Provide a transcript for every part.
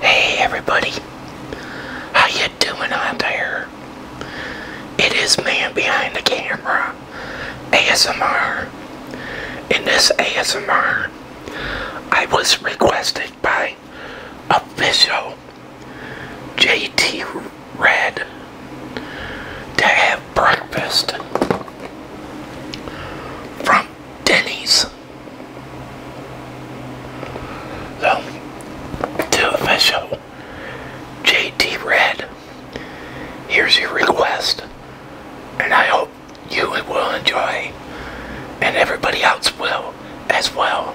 Hey everybody, how you doing out there? It is man behind the camera, ASMR. In this ASMR, I was requested by official JT Red to have breakfast from Denny's. So, to official JD Red, here's your request, and I hope you will enjoy, and everybody else will as well.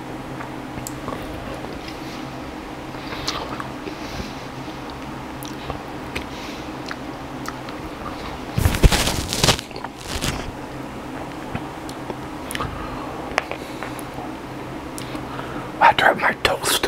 I dropped my toast.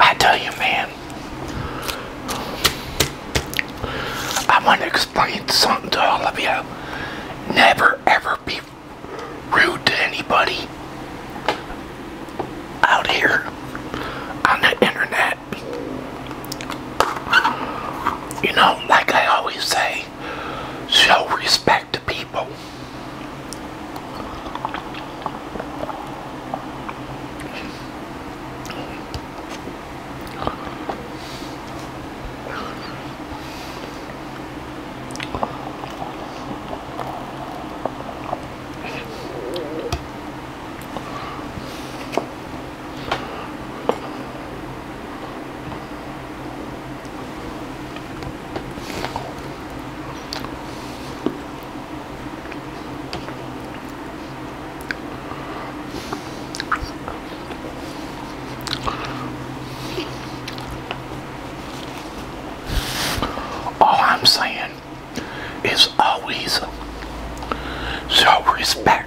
I tell you, man, I want to explain something to all of you. Never ever be rude to anybody out here on the internet. You know, like I always say, show respect to people. Oh, I'm saying is always show respect.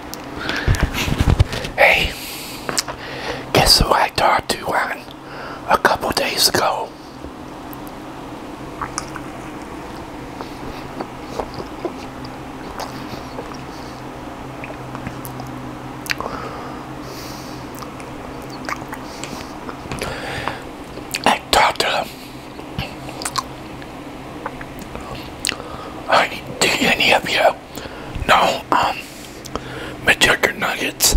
Hey, guess who I talked to on a couple days ago? I talked to I, do any of you no, um, McChicken Nuggets.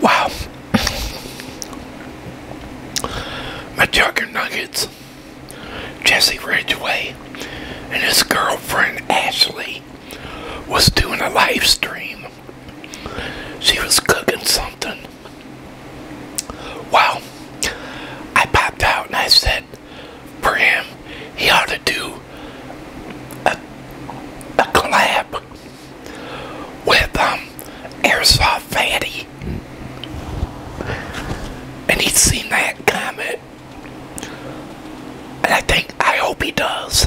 Wow. My Jugger Nuggets, Jesse Ridgeway, and his girlfriend Ashley was doing a live stream she was cooking something. Well, I popped out and I said for him, he ought to do a, a collab with um, Airsoft Fatty. And he's seen that comment. And I think, I hope he does.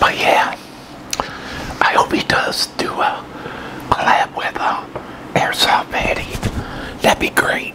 But yeah, I hope he does do a collab with uh, Airsoft Patty. That'd be great.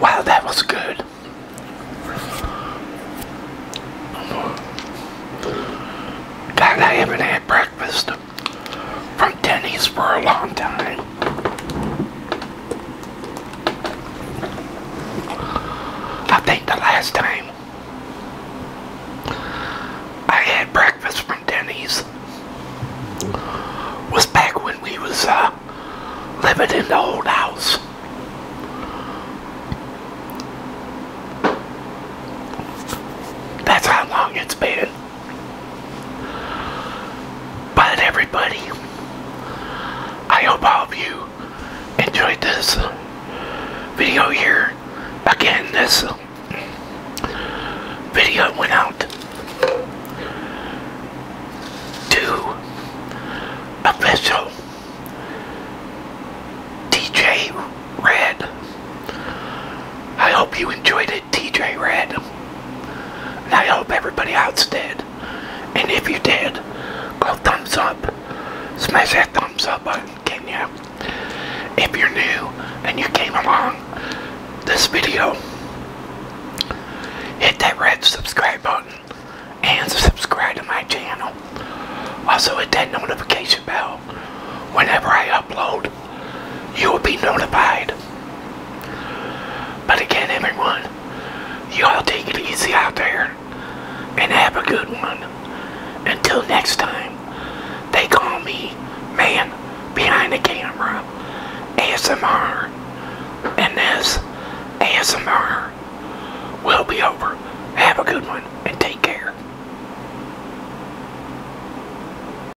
Wow, that was good. I haven't had breakfast from Denny's for a long time. I think the last time I had breakfast from Denny's was back when we was uh, living in the old house. That's how long it's been. But everybody, I hope all of you enjoyed this video here. Again, this video went out to official DJ Red. I hope you enjoyed it. TJ Red. And I hope everybody else did. And if you did, go thumbs up. Smash that thumbs up button, can you? If you're new and you came along this video, hit that red subscribe button and subscribe to my channel. Also hit that notification bell whenever I upload you will be notified. But again, everyone, y'all take it easy out there and have a good one. Until next time, they call me man behind the camera, ASMR, and this ASMR will be over. Have a good one and take care.